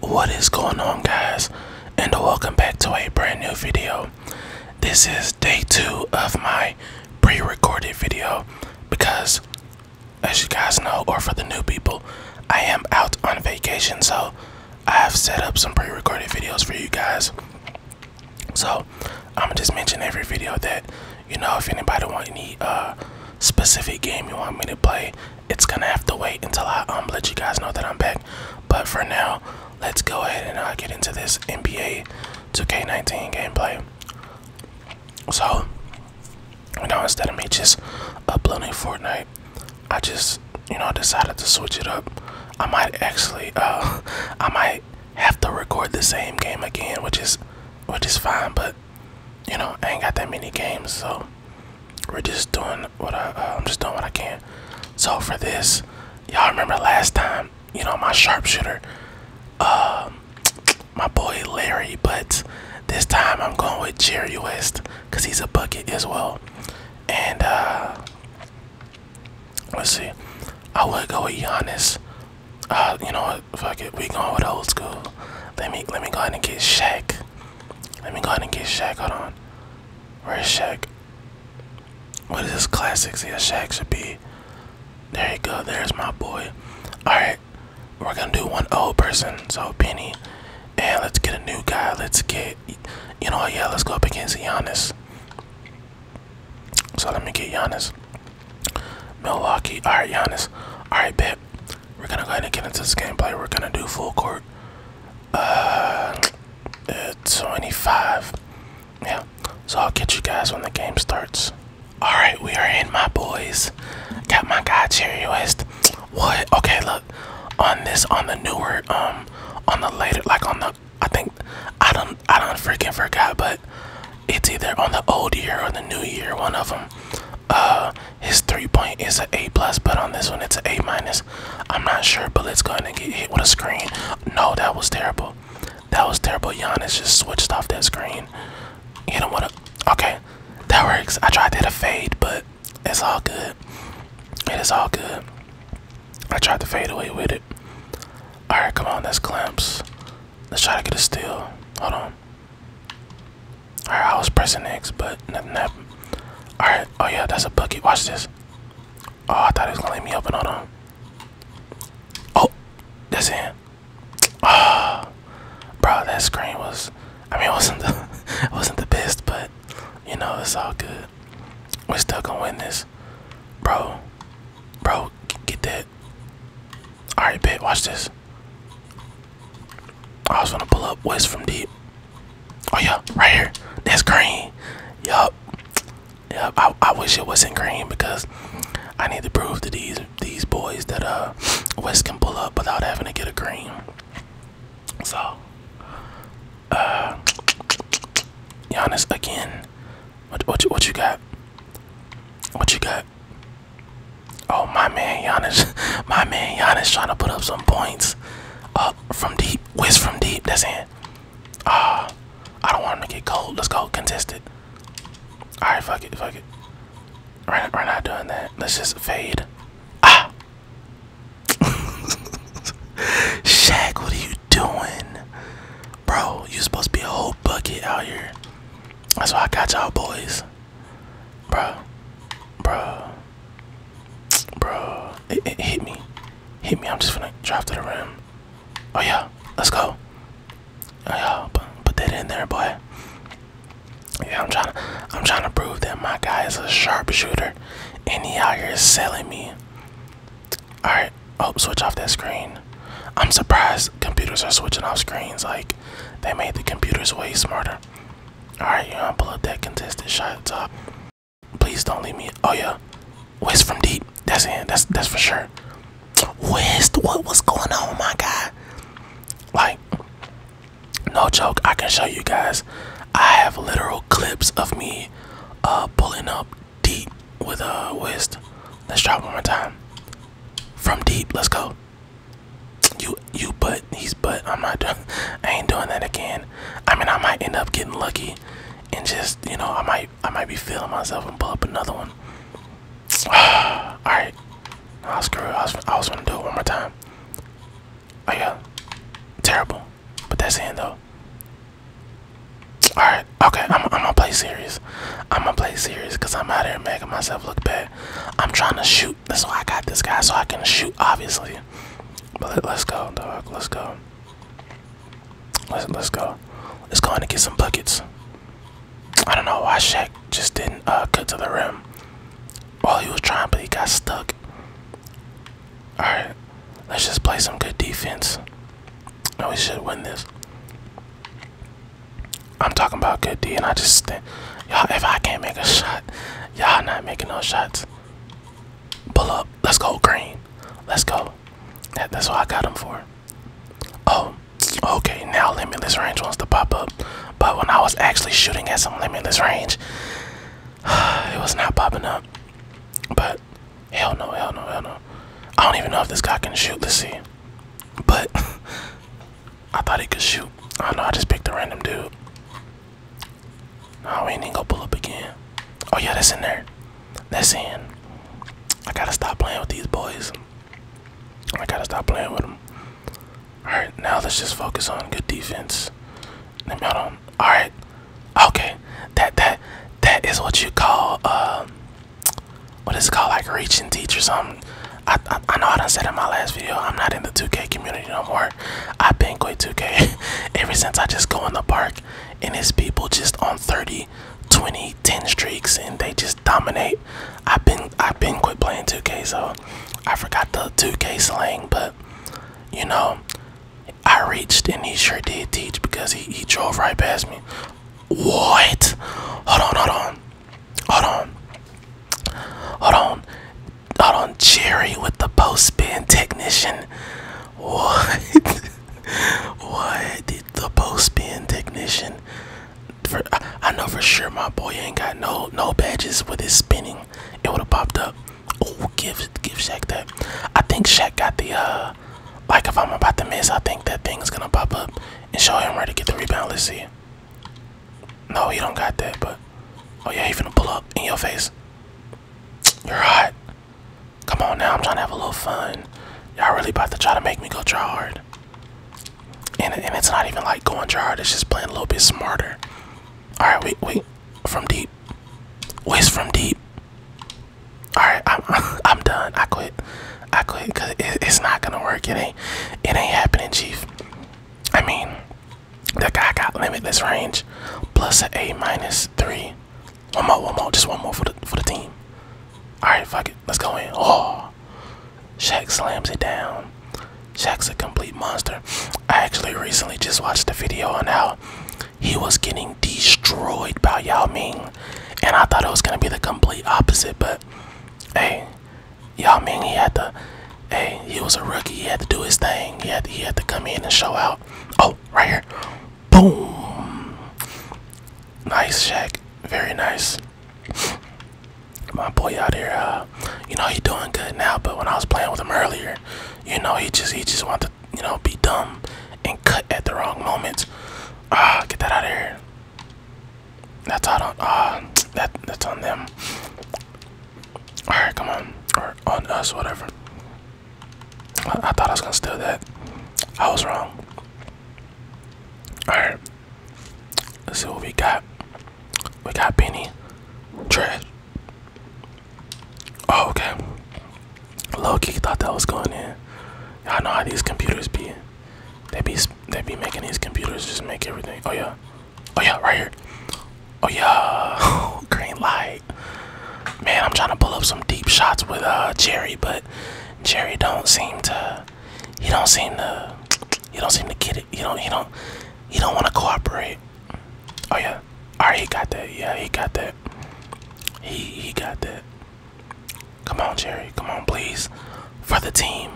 What is going on guys and welcome back to a brand new video. This is day two of my pre-recorded video because as you guys know or for the new people I am out on vacation so I have set up some pre-recorded videos for you guys. So I'ma just mention every video that you know if anybody want any uh, specific game you want me to play it's gonna have to wait until I um let you guys know that I'm back. But for now, let's go ahead and uh, get into this NBA 2K19 gameplay. So, you know, instead of me just uploading Fortnite, I just you know decided to switch it up. I might actually uh I might have to record the same game again, which is which is fine, but you know I ain't got that many games, so we're just doing what I, am uh, just doing what I can. So for this, y'all remember last time, you know, my sharpshooter, um, my boy Larry, but this time I'm going with Jerry West because he's a bucket as well. And uh, let's see, I would go with Giannis. Uh, you know what? Fuck it, we going with old school. Let me let me go ahead and get Shaq. Let me go ahead and get Shaq. Hold on. Where's Shaq? What is this classic? See, yeah, Shaq should be. There you go. There's my boy. Alright. We're going to do one old person. So, Penny. And let's get a new guy. Let's get. You know Yeah, let's go up against Giannis. So, let me get Giannis. Milwaukee. Alright, Giannis. Alright, bet. We're gonna go ahead and get into this gameplay. We're gonna do full court. Uh, uh 25. Yeah. So I'll catch you guys when the game starts. Alright, we are in my boys. Got my guy Cherry West. What? Okay, look. On this on the newer, um, on the later like on the I think I don't I don't freaking forgot, but it's either on the old year or the new year, one of them. Uh, his three point is an A plus, but on this one it's an A minus. I'm not sure, but let's go and get hit with a screen. No, that was terrible. That was terrible. Giannis just switched off that screen. You know what? Okay, that works. I tried to fade, but it's all good. It is all good. I tried to fade away with it. All right, come on, that's clamps. Let's try to get a steal. Hold on. Alright, I was pressing X, but nothing happened. Alright, oh yeah, that's a bucket. Watch this. Oh, I thought it was gonna let me open. Hold on. Oh, that's in. Oh, ah, bro, that screen was. I mean, it wasn't the, it wasn't the best, but you know, it's all good. We're still gonna win this, bro. Bro, get that. All right, bet. Watch this. I was gonna pull up west from deep. Oh yeah, right here. That's green. Yup. Yup. I, I wish it wasn't green because I need to prove to these these boys that uh West can pull up without having to get a green. So uh Giannis again. What what you what you got? What you got? Oh my man Giannis, my man Giannis trying to put up some points. Up from deep, whiz from deep. That's it. Ah, I don't want him to get cold. Let's go contested. All right, fuck it, fuck it. We're, we're not doing that. Let's just fade. Ah. Shaq, what are you doing, bro? You supposed to be a whole bucket out here. That's why I got y'all boys bro, bro, bro. hit me, hit me. I'm just gonna drop to the rim. Oh yeah, let's go. Oh yeah, put, that in there, boy. Yeah, I'm trying to, I'm trying to prove that my guy is a sharpshooter, and he out here is selling me. All right, oh, switch off that screen. I'm surprised computers are switching off screens. Like, they made the computers way smarter. Alright, you right, you're gonna pull up that contested shot top. Please don't leave me. Oh yeah. West from deep. That's it. That's that's for sure. West, what was going on, my guy? Like, no joke, I can show you guys. I have literal clips of me uh pulling up deep with a uh, West. Let's try one more time. From deep, let's go. You, you, but he's but I'm not. I ain't doing that again. I mean, I might end up getting lucky, and just you know, I might, I might be feeling myself and pull up another one. All right, I'll screw. It. I was, I was gonna do it one more time. Oh yeah, terrible. But that's in though. All right, okay. I'm, I'm gonna play serious. I'm gonna play serious because I'm out here making myself look bad. I'm trying to shoot shoot. That's why I got this guy, so I can shoot, obviously. But let's go, dog. Let's go. Let's let's go. Let's go in and get some buckets. I don't know why Shaq just didn't uh, cut to the rim while he was trying, but he got stuck. All right, let's just play some good defense. I we should win this. I'm talking about good D, and I just think, y'all, if I can't make a shot, y'all not making no shots. Pull up. Let's go, green. Let's go. that's what I got them for. Oh, okay. Now limitless range wants to pop up, but when I was actually shooting at some limitless range, it was not popping up. But hell no, hell no, hell no. I don't even know if this guy can shoot. the us But I thought he could shoot. I know I just picked a random dude. No, we ain't gonna pull up again. Oh yeah, that's in there. That's in. I gotta stop playing with these boys. I gotta stop playing with them. All right, now let's just focus on good defense. Let me hold on. All right, okay. That that that is what you call um. what is it called like reaching teacher something. I, I, I know what I said in my last video. I'm not in the 2K community no more. I've been quit 2K ever since I just go in the park and it's people just on 30, 20, 10 streaks and they just dominate. I've been I've been quit playing 2K, so I forgot the 2K slang, but you know, I reached and he sure did teach because he, he drove right past me. What? Hold on, hold on. Hold on. Hold on. Hold on. Jerry with the post spin technician. What? what did the post spin technician? For, I know for sure my boy ain't got no no badges with his spinning. It would have popped up. Oh, give give Shaq that. I think Shaq got the uh. Like if I'm about to miss, I think that thing's gonna pop up and show him where to get the rebound. Let's see. No, he don't got that, but oh yeah, he finna pull up in your face. You're hot. Come on now, I'm trying to have a little fun. Y'all really about to try to make me go try hard. And, and it's not even like going try hard, it's just playing a little bit smarter. Alright, wait, wait. From deep. Waste from deep. Alright, I'm I'm done. I quit. I quit because it, it's not gonna work. It ain't it ain't happening, Chief. I mean, that guy got limitless range, plus an A minus three. One more, one more, just one more for the for the team. All right, fuck it, let's go in. Oh, Shaq slams it down. Shaq's a complete monster. I actually recently just watched a video on how he was getting destroyed by Yao Ming, and I thought it was gonna be the complete opposite, but hey, Yao mean he had to, hey, he was a rookie. He had to do his thing. He had to, he had to come in and show out. Oh, right here, boom! Nice, Shaq. Very nice. My boy out here, uh, you know he's doing good now. But when I was playing with him earlier, you know he just he just wanted to, you know, be dumb and cut at the wrong moments. Ah, get that out of here. That's on uh that that's on them. Alright, come on. Or on us, whatever. I, thought I was gonna steal that. I was wrong. Alright. Let's see what we got. We got Penny. Trash. Oh, okay. Low key thought that was going in. Y'all know how these computers be. They be they be making these computers just make everything. Oh yeah. Oh yeah, right here. Oh yeah, green light. Man, I'm trying to pull up some deep shots with uh Jerry, but Jerry don't seem to. He don't seem to. He don't seem to get it. You don't. You don't. He don't want to cooperate. Oh yeah. All right, he got that. Yeah, he got that. He he got that. Come on, Jerry. Come on, please. For the team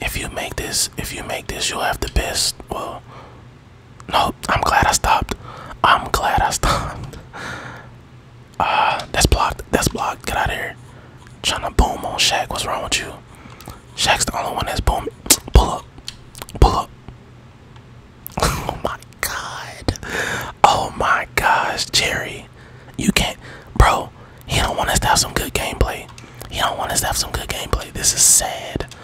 if you make this, if you make this, you'll have the best. Well, no, I'm glad I stopped. I'm glad I stopped. Uh, that's blocked. That's blocked. Get out of here. Trying to boom on Shaq. What's wrong with you? Shaq's the only one that's boom. Pull up. Pull up. oh my god. Oh my gosh, Jerry. You can't, bro. He don't want us to have some good gameplay. He don't want us to have some good gameplay. This is sad.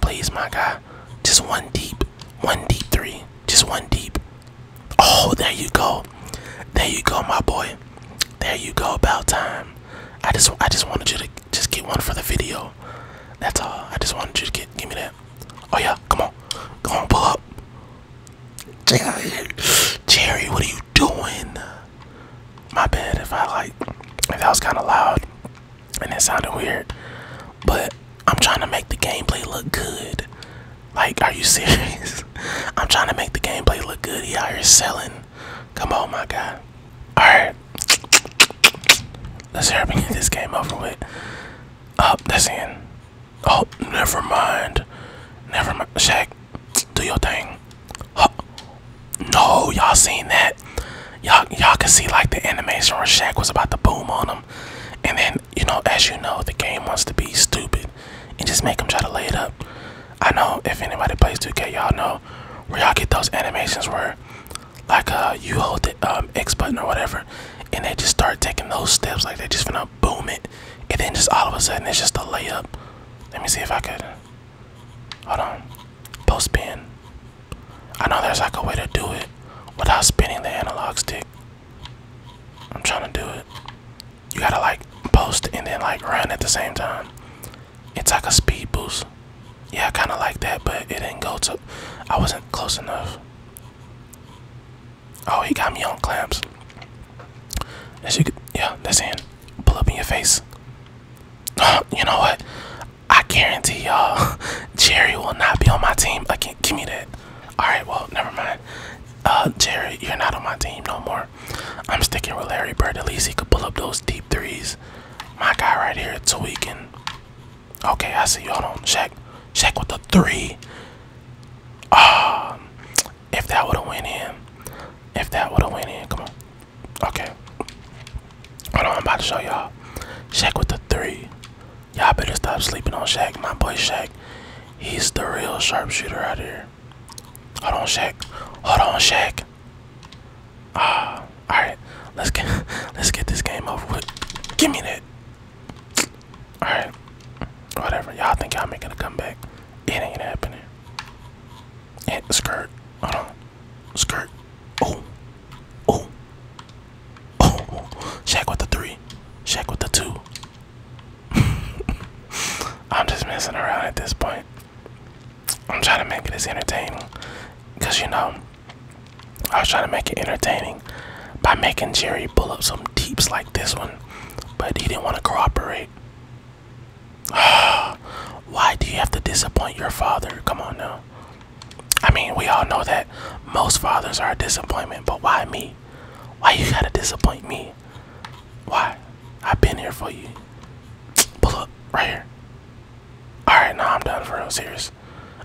Please, my guy. Just one deep. One deep three. Just one deep. Oh, there you go. There you go, my boy. There you go. About time. I just I just wanted you to just get one for the video. That's all. I just wanted you to get give me that. Oh yeah, come on. Come on, pull up. Jerry, Jerry, what are you doing? My bad if I like if that was kind of loud and it sounded weird, but I'm trying to make the gameplay look good. Like, are you serious? I'm trying to make the gameplay look good. Y'all are selling. Come on, my guy. All right, let's hear me get this game over with. Up, oh, that's in. Oh, never mind. Never mind. Shaq, do your thing. No, y'all seen that? Y'all y'all can see like the animation where Shaq was about to boom on him. And then, you know, as you know, the game wants to be stupid and just make them try to lay it up. I know if anybody plays 2K, y'all know where y'all get those animations where like uh you hold the um, X button or whatever and they just start taking those steps like they just gonna boom it and then just all of a sudden it's just a layup. Let me see if I could Hold on. Post spin. I know there's like a way to do it without spinning the analog stick. I'm trying to do it. You gotta like post and then like run at the same time. It's like a speed boost. Yeah, I kinda like that, but it didn't go to. I wasn't close enough. Oh, he got me on clamps. As you yeah, that's in. Pull up in your face. you know what? I guarantee y'all, Jerry will not be on my team again. Give me that. All right, well, never mind. Uh, Jerry, you're not on my team no more. I'm sticking with Larry Bird. At least he could pull up those deep threes. My guy right here, Tweaking. Okay, I see. you Hold on. Shaq. Shaq with the three. Um, if that would have went in, if that would have went in, come on. Okay. Hold on, I'm about to show y'all. Shaq with the three. Y'all better stop sleeping on Shaq. My boy Shaq, he's the real sharpshooter out here. Hold on, Shaq. Hold on, Shaq. Ah, uh, all right. Let's get let's get this game over with. Give me that. All right. Whatever. Y'all think y'all making a comeback? It ain't happening. Hit the skirt. Hold on. Skirt. Oh. Oh. Oh. Shaq with the three. Shaq with the two. I'm just messing around at this point. I'm trying to make it as entertaining. Because, you know, I was trying to make it entertaining by making Jerry pull up some deeps like this one. But he didn't want to cooperate. Why do you have to disappoint your father? Come on now. I mean, we all know that most fathers are a disappointment, but why me? Why you gotta disappoint me? Why? I've been here for you. Pull up right here. All right, now I'm done for real. Serious.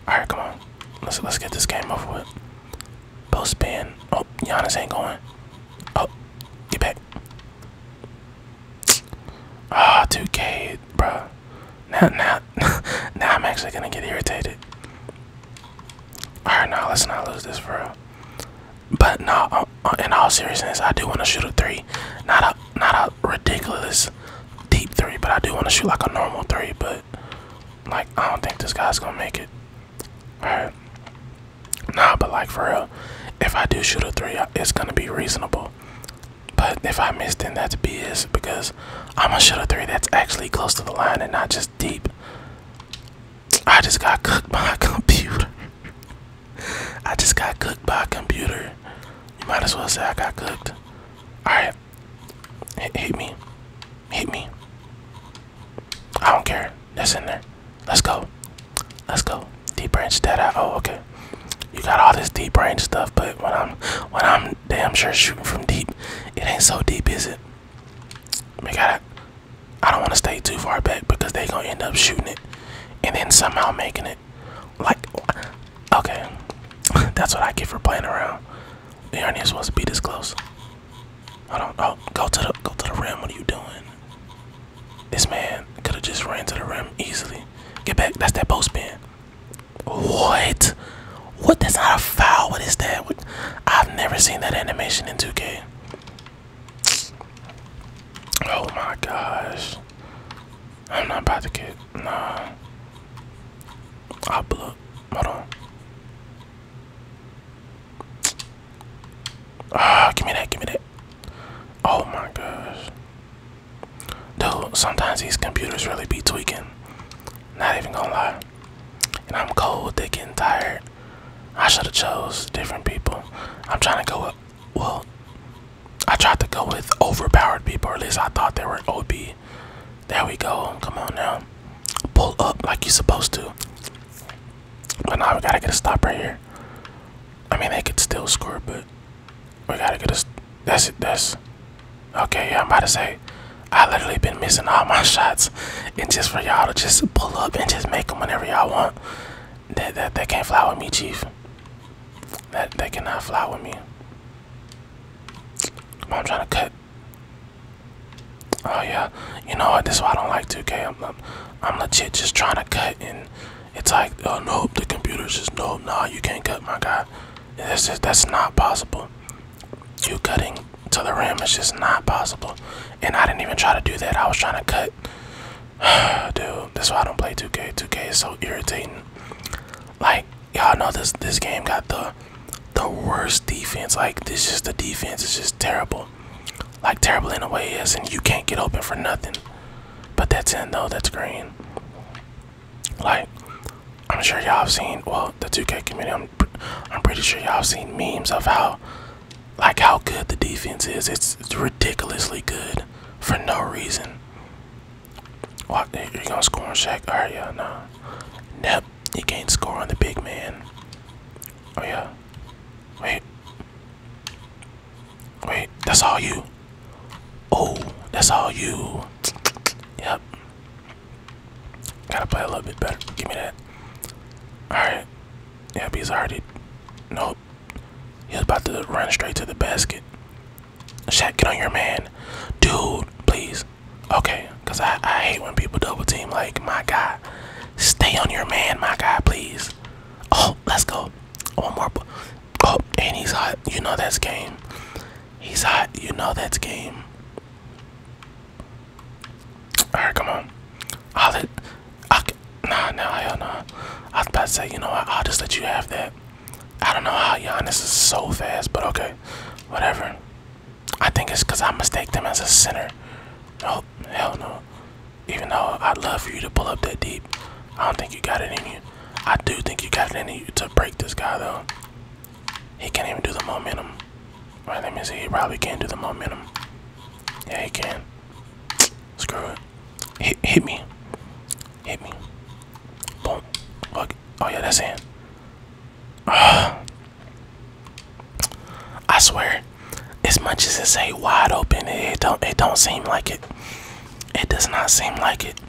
All right, come on. Let's let's get this game over with. Post spin. Oh, Giannis ain't going. Oh, Get back. Ah, 2K, bro. Now, now, now I'm actually gonna get irritated. Alright, now let's not lose this for real. But no, uh, uh, in all seriousness, I do want to shoot a three, not a not a ridiculous deep three, but I do want to shoot like a normal three. But like, I don't think this guy's gonna make it. All right, Nah, but like for real, if I do shoot a three, it's gonna be reasonable. But if I miss, then that's BS because I'm gonna shoot a three that's actually close to the line and not just deep. I just got cooked by a computer. I just got cooked by a computer. You might as well say I got cooked. Alright. Hit me. Hit me. I don't care that's in there. Let's go. Let's go. Deep branch that out. Oh, okay. You got all this deep range stuff, but when I'm when I'm damn sure shooting from deep, it ain't so deep, is it? We got I don't want to stay too far back because they gonna end up shooting it, and then somehow making it. Like, okay, that's what I get for playing around. You aren't even supposed to be this close. Hold on. Oh, go to the go to the rim. What are you doing? This man could have just ran to the rim easily. Get back. That's that post spin. What? What? That's not a foul. What is that? What? I've never seen that animation in 2K. Oh my gosh. I'm not about to get. Nah. I'll blow. Hold on. Ah, give me that, give me that. Oh my gosh. Dude, sometimes these computers really be tweaking. Not even gonna lie. And I'm cold, they getting tired. I should have chose different people. I'm trying to go with, well, I tried to go with overpowered people, at least I thought they were OB. There we go, come on now. Pull up like you're supposed to. But now we gotta get a stop right here. I mean, they could still score, but we gotta get a. That's it. That's okay. Yeah, I'm about to say. I literally been missing all my shots, and just for y'all to just pull up and just make them whenever y'all want. That that they can't fly with me, Chief. That they cannot fly with me. I'm trying to cut. Oh yeah, you know what? This is why I don't like 2K. I'm, I'm legit just trying to cut, and it's like, oh, nope, the computer's just nope, nah, you can't cut, my guy. That's just, that's not possible. You cutting to the rim is just not possible, and I didn't even try to do that. I was trying to cut. Dude, that's why I don't play 2K. 2K is so irritating. Like y'all know this this game got the the worst defense. Like this just the defense is just terrible like terrible in a way is and you can't get open for nothing but that's in though that's green like i'm sure y'all have seen well the 2k community i'm, I'm pretty sure y'all have seen memes of how like how good the defense is it's, ridiculously good for no reason what you gonna score on Shaq? Alright, oh, yeah, no. Nope, you can't score on the big man. Oh yeah. Wait. Wait, that's all you. Oh, that's all you. Yep. Gotta play a little bit better. Give me that. Alright. Yeah, he's already. Nope. He's about to run straight to the basket. Shaq, get on your man. Dude, please. Okay, because I, I hate when people double team like my god. Stay on your man, my guy, please. Oh, let's go. One more. Oh, and he's hot. You know that's game. He's hot. You know that's game. Alright, come on. I'll let. I, nah, nah, hell nah. I was about to say, you know what? I'll just let you have that. I don't know how Giannis is so fast, but okay. Whatever. I think it's because I mistake them as a center. Oh, hell no. Even though I'd love for you to pull up that deep, I don't think you got it in you. I do think you got it in you to break this guy though. He can't even do the momentum. All right, let me see. He probably can't do the momentum. Yeah, he can. Screw it. Hit, me. Hit me. Boom. Fuck. Oh yeah, that's in. Uh, I swear, as much as it say wide open, it, don't it don't seem like it. It does not seem like it.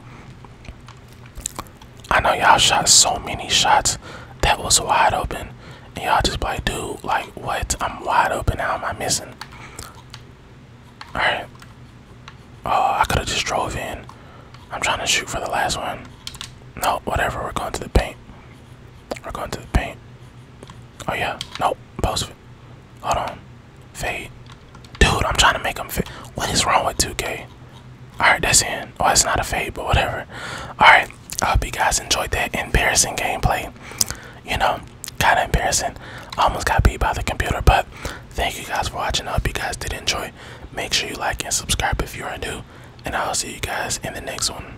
I know y'all shot so many shots that was wide open, and y'all just like, dude, like what? I'm wide open. How am I missing? All right. Oh, I could have just drove in. I'm trying to shoot for the last one. No, whatever. We're going to the paint. We're going to the paint. Oh yeah, no, post. Hold on, fade. Dude, I'm trying to make him fade. What is wrong with 2K? All right, that's in. Oh, it's not a fade, but whatever. All right, I hope you guys enjoyed that embarrassing gameplay. You know, kind of embarrassing. almost got beat by the computer, but thank you guys for watching. I hope you guys did enjoy. Make sure you like and subscribe if you are new, and I'll see you guys in the next one.